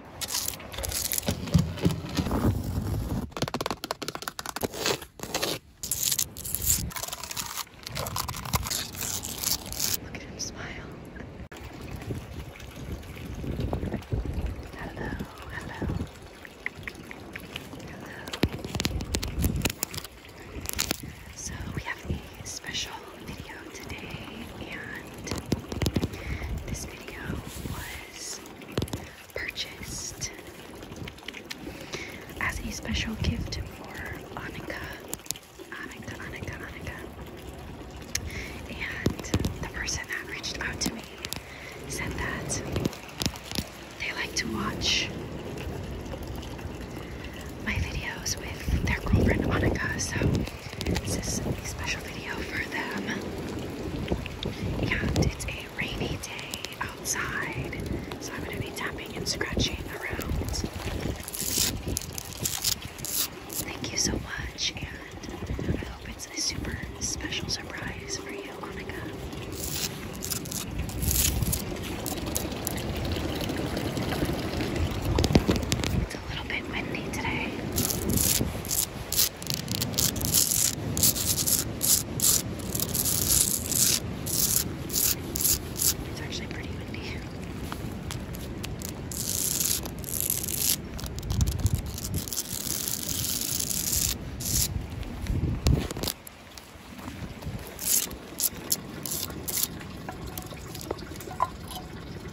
Look at him smile. Hello, hello. Hello. So we have a special video today and this video was purchased as a special gift for Annika. Annika, Annika, Annika. And the person that reached out to me said that they like to watch my videos with their girlfriend Annika, so this is a special video for them. And it's a rainy day outside, so I'm going to be tapping and scratching around. Thank you so much, and I hope it's a super special surprise for you, Monica. It's a little bit windy today. It's actually pretty windy.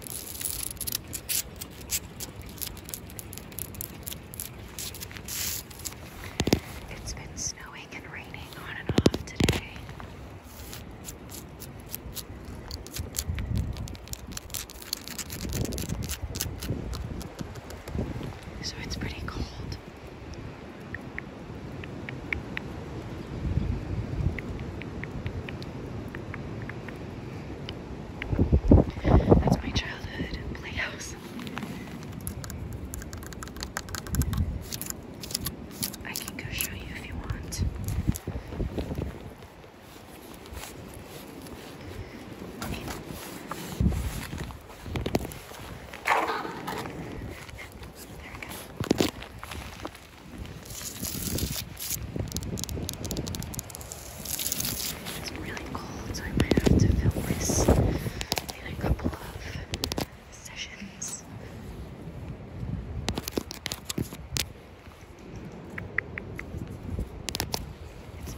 It's been snowing and raining on and off today. So it's pretty cold. That's my childhood playhouse. I can go show you if you want. Okay. It's really cold, so I might have to film this in a couple of sessions. It's muddy. It's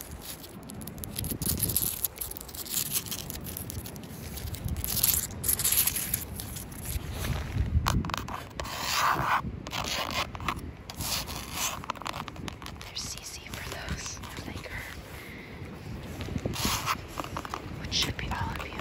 there's CC for those who like her, which should be all of you.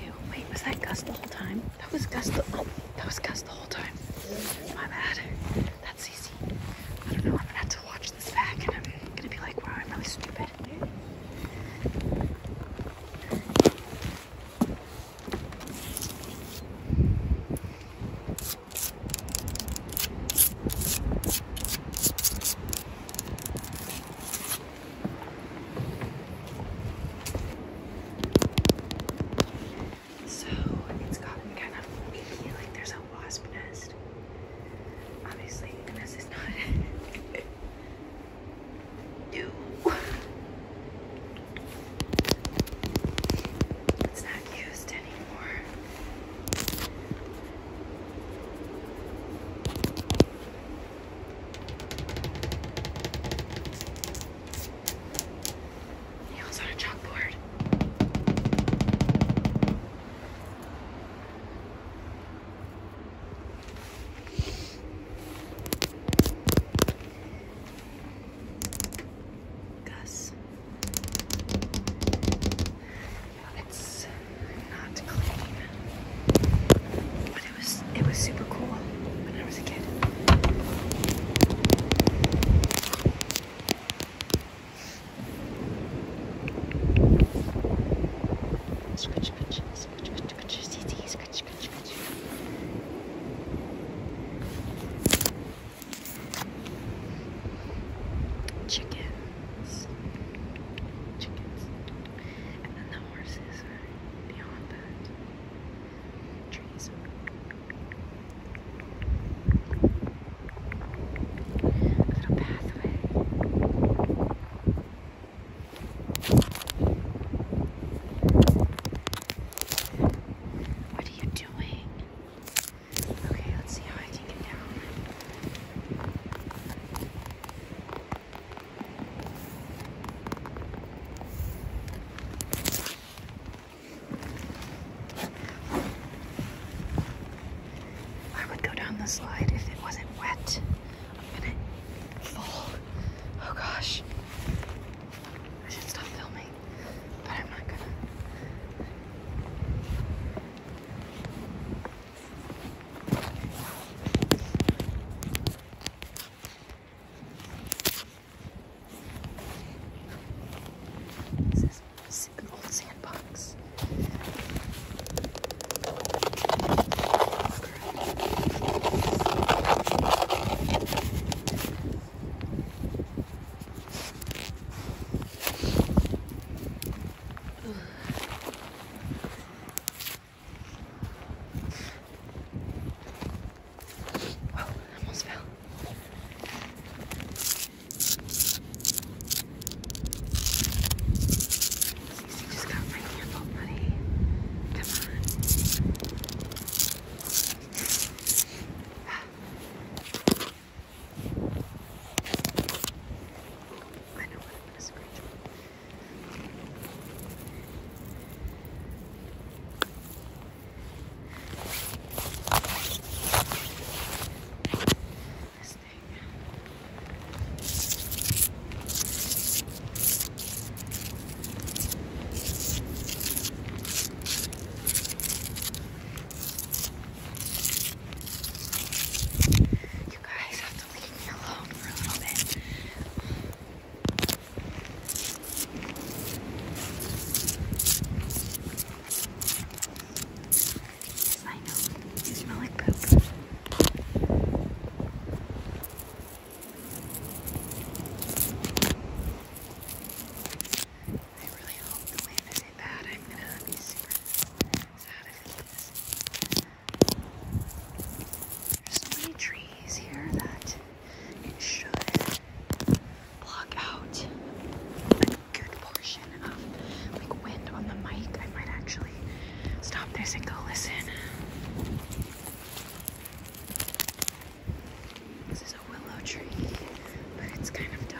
Oh, Wait, was that Gus the whole time? That was Gus the, oh, that was Gus the whole time. My bad. That's easy. I don't know, I'm gonna have to watch this back and I'm gonna be like, wow, I'm really stupid. So it's gotten kind of creepy, like there's a wasp nest. Obviously, this is not new. It's not used anymore. Nails on a chalkboard. Gus. It's not clean, but it was it was super cool when I was a kid. Scratch, scratch, scratch, scratch, scratch, scratch, scratch, scratch. Chickens. Chickens. And then the horses are beyond that. Trees. A little pathway. What are you doing? Okay, let's see how I can get down. I would go down the slide if it wasn't wet. I'm gonna fall. Oh gosh. I should stop filming, but I'm not gonna. This is an old sandbox. Whoa, I almost fell. just got my handle, buddy. Come on. I know I'm gonna scratch. This thing. You guys have to leave me alone for a little bit. I know, you smell like poop. I really hope the way I say that I'm gonna be super sad if it is. There's so many trees here that it should block out a good portion of like wind on the mic. I might actually stop this and go listen. This is a willow tree, but it's kind of dying.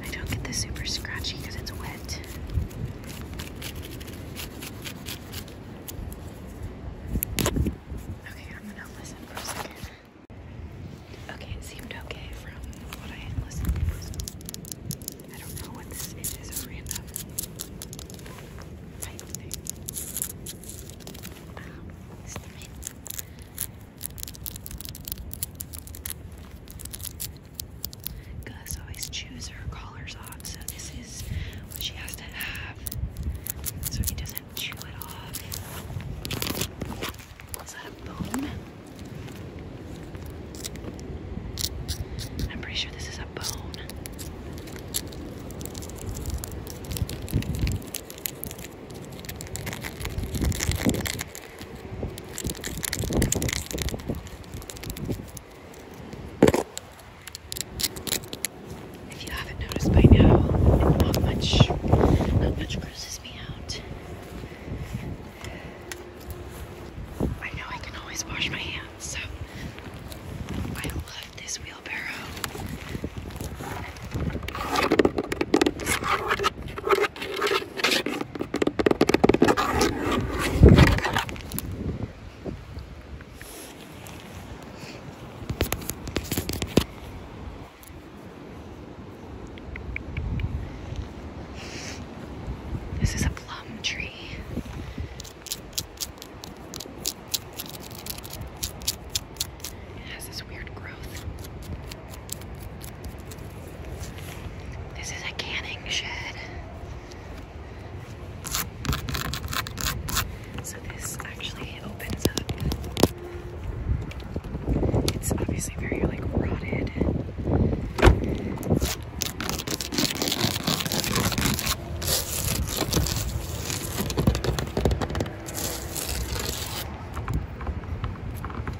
I don't get the super scratchy because it's wet. Okay, I'm gonna listen for a second. Okay, it seemed okay from what I listened I don't know what this is, it's random type thing. Wow, ah, it's the Gus always chews her collars off, so this is what she has to have so he doesn't chew it off. Is that a bone? I'm pretty sure this is a bone. If you haven't noticed by now, not much, not much crosses me out. I know I can always wash my hands, so I love this wheelbarrow. This is a plum tree. It has this weird growth. This is a canning shed. So this actually opens up. It's obviously very like rotted.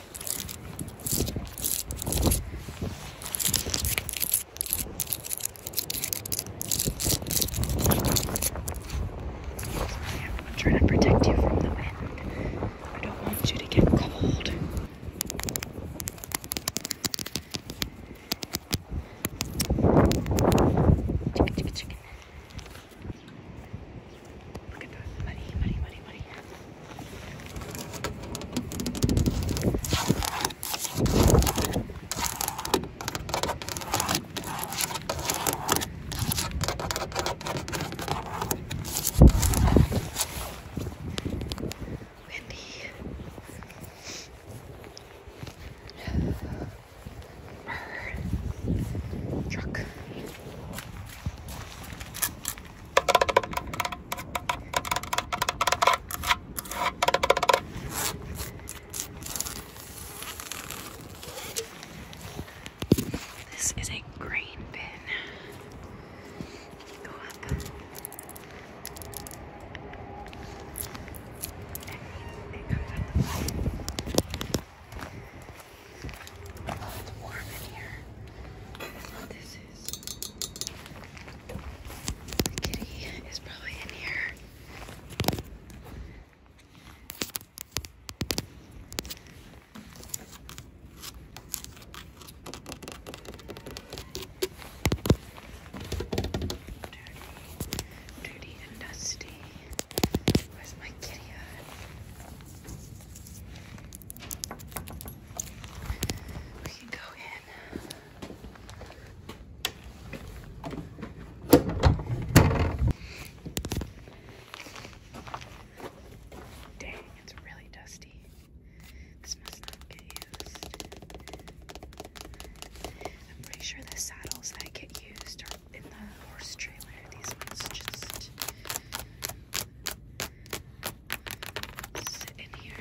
I'm trying to protect you from the wind. I don't want you to get cold. Chicken, chicken, chicken. Look at that. Muddy, muddy, muddy, muddy. Windy. Truck. This is a grain bin. Go up. It comes out the bottom. Oh, it's warm in here. This is is. The kitty is probably in here. Dirty, dirty and dusty. Where's my kitty we can go in. Dang, it's really dusty. This must not get used. I'm pretty sure the saddles that get used are in the horse trailer. These ones just sit in here.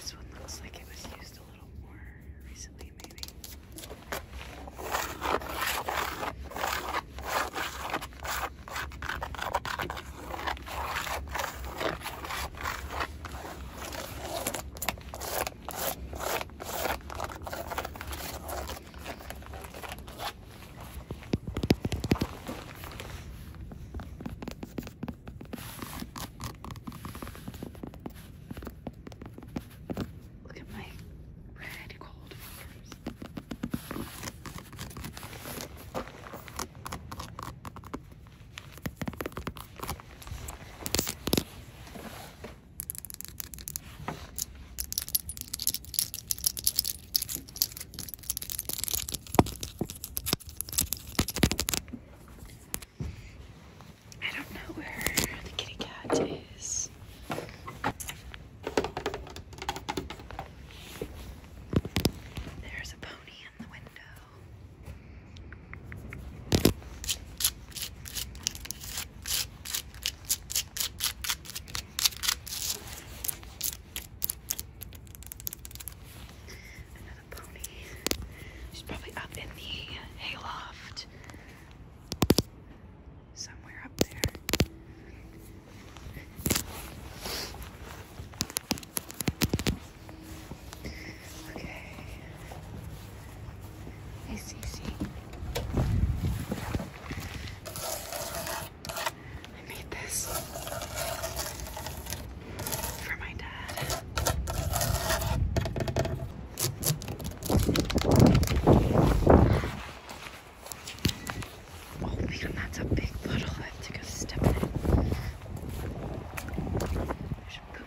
This one looks like it was used a little more recently, maybe. Look at my red cold fingers. I don't know where the kitty cat is. There's a pony in the window. Another pony. She's probably up in the hayloft. Somewhere up there. Okay. Hey, Cece. I made this for my dad. Oh that's a big puddle. I have to go step in it. I should poop.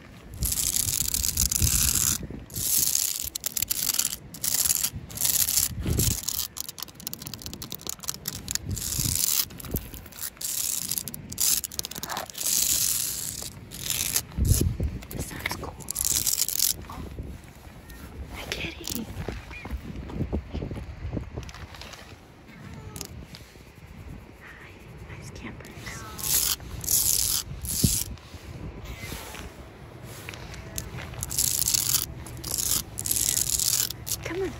This sounds cool. Oh, my kitty. Hi, nice campers. Come on.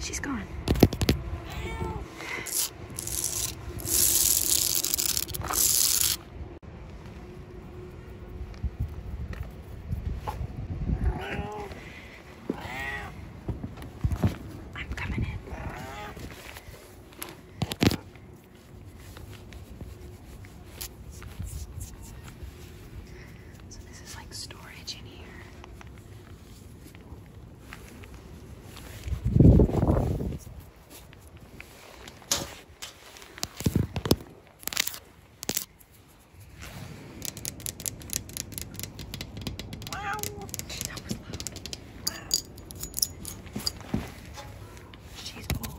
She's gone. I'm coming in. So this is like storage in here. Wow, that was loud. Wow. She's old.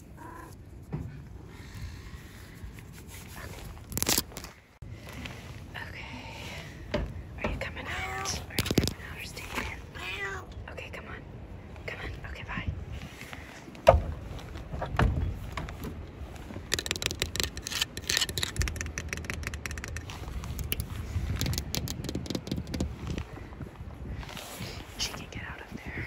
Okay. Are you coming out? Are you coming out or staying in? Okay, come on. Come on. Okay, bye. She can get out of there.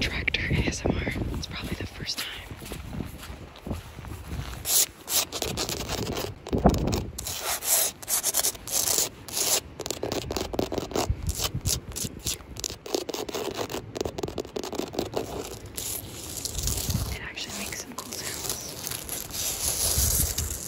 Tractor ASMR. It's probably the first time. It actually makes some cool sounds.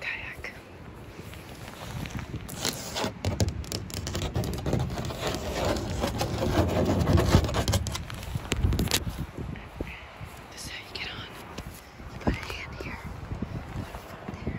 kayak. This is how you get on. put a hand here, there,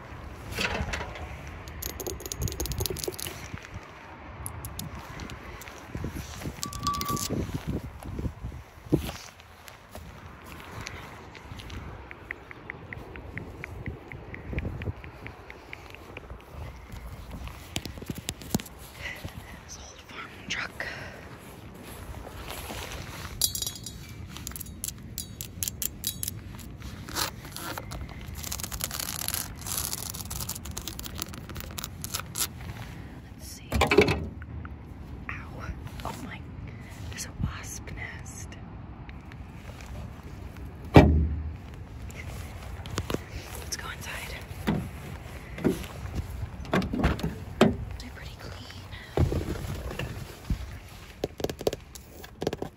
This old farm truck. Let's see. Ow. Oh my, there's a wasp nest. Let's go inside. They're pretty clean.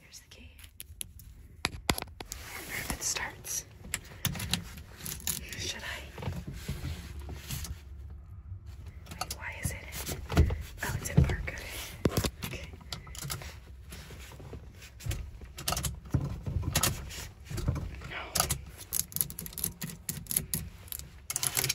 Here's the key. I if it starts. Should I? why is it? Oh, it's in barcode. Okay. No.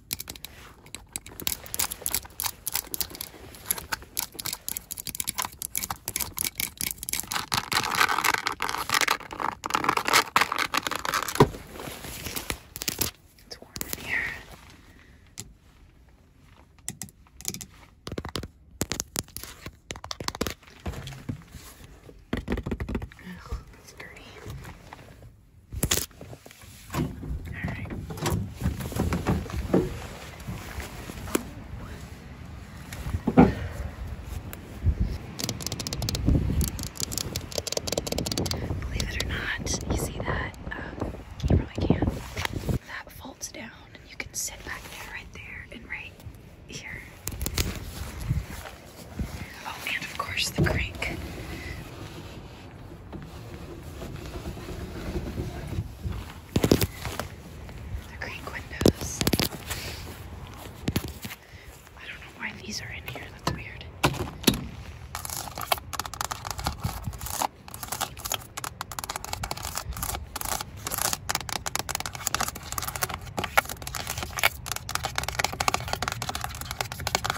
It's warm in here. Ugh, it's dirty. All right. Believe it or not, you see that? Um, you can. That folds down, and you can sit back there, right there, and right here. Oh, and of course the crank. The creek windows. I don't know why these are in here. That's weird.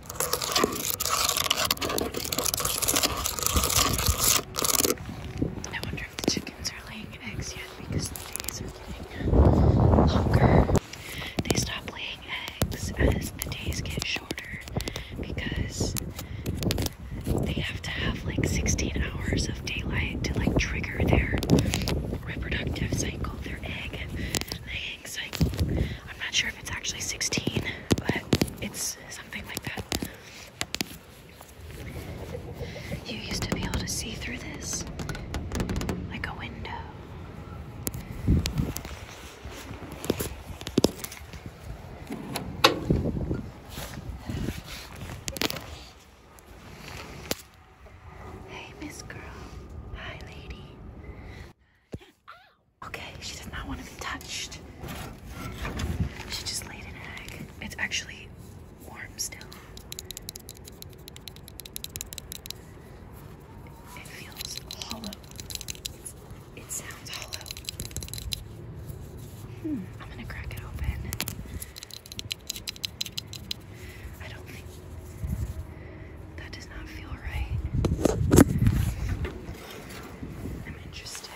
I wonder if the chickens are laying eggs yet because the days are getting longer. They stop laying eggs as the days get shorter because they have to have like 16 hours of daylight to like trigger their reproductive cycle, their egg laying cycle. I'm not sure if it's actually 16, but it's something like that. You used to be able to see through this like a window. Hey, Miss Girl. Hi, lady. Okay, she does not want to be touched. She just laid an egg. It's actually warm still. It feels hollow. it sounds hollow. Hmm, I'm gonna crack it open. I don't think that does not feel right. I'm interested.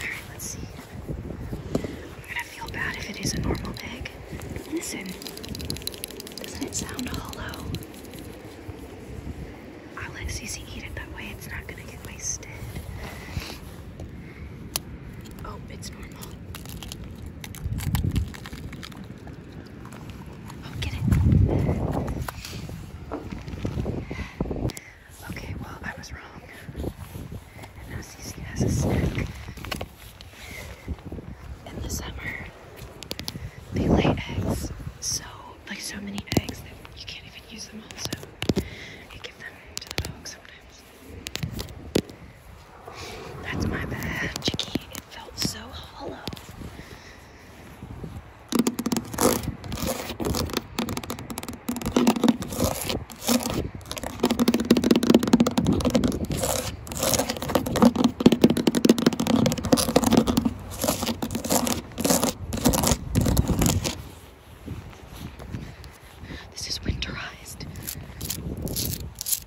Alright, let's see. I'm gonna feel bad if it is a normal egg. Listen, doesn't it sound hollow? I'll let it that way, it's not gonna get wasted. Oh, it's normal. Oh, get it. Okay, well, I was wrong. And now Cece has a snack. In the summer, they lay eggs. So, like so many eggs that you can't even use them all, so give them to the dog sometimes. That's my bad, Chicky. It felt so hollow. This is winterized. I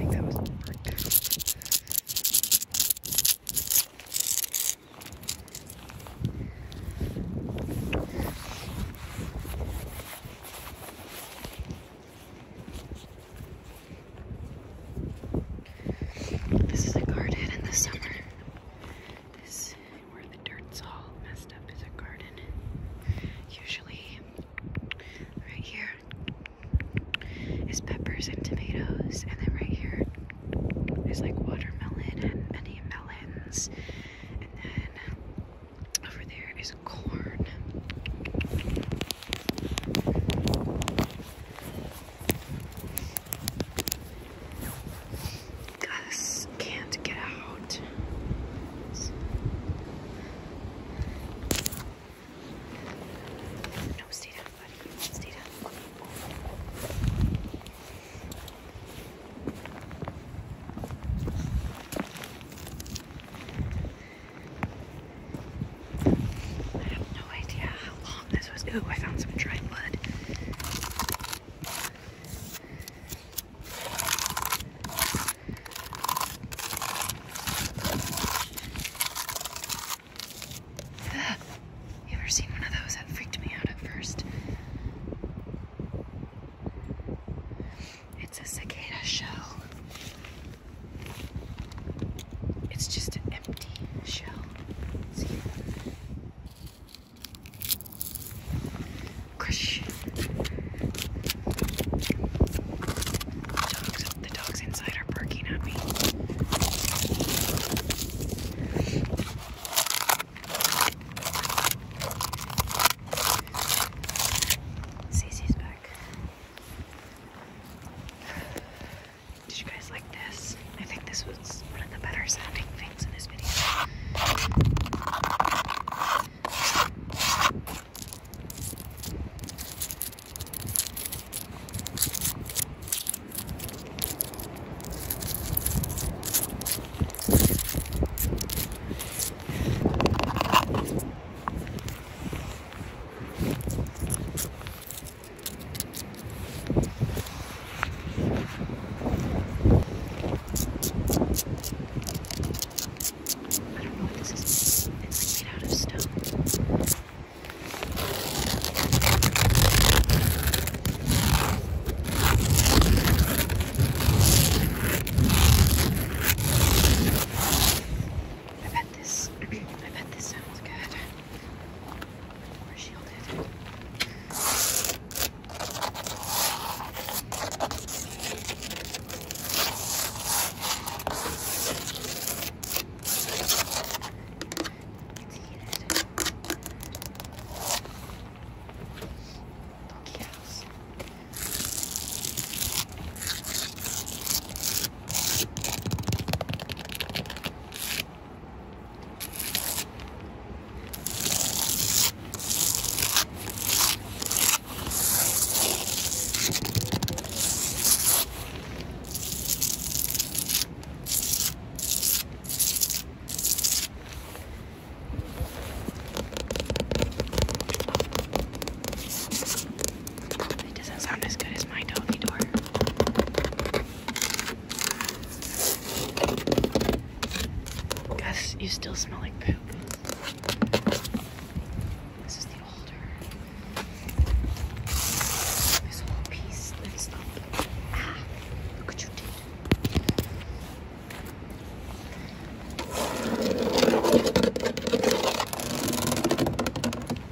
think that was worked out. This is a garden in the summer. This, where the dirt's all messed up, is a garden. Usually, right here is peppers and tomatoes, and then right here is like watermelon and many melons, and then over there is corn. Gus can't get out. No, stay down, I have no idea how long long Ooh, I found some dried mud. You ever seen one of those? That freaked me out at first. It's a cicada shell. It's just an empty shell. Christian. The dogs, inside are barking at me. Cece's back. Did you guys like this? I think this was one of the better sounding things in this video. I don't know what this is. It's made out of stone. I bet this I bet this sounds good more shielded. It's heated. Funky house. It's it doesn't sound as good as my doggy door. Gus, you still smell like poop. This is the older. This whole piece that's up. Ah, look what you did.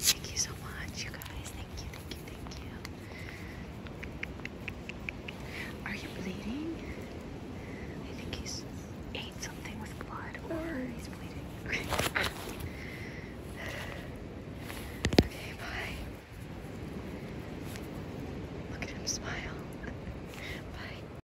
Thank you so much, you guys. Thank you, thank you, thank you. Are you bleeding? I think he's ate something with blood or he's bleeding. okay, bye. Look at him smile. bye.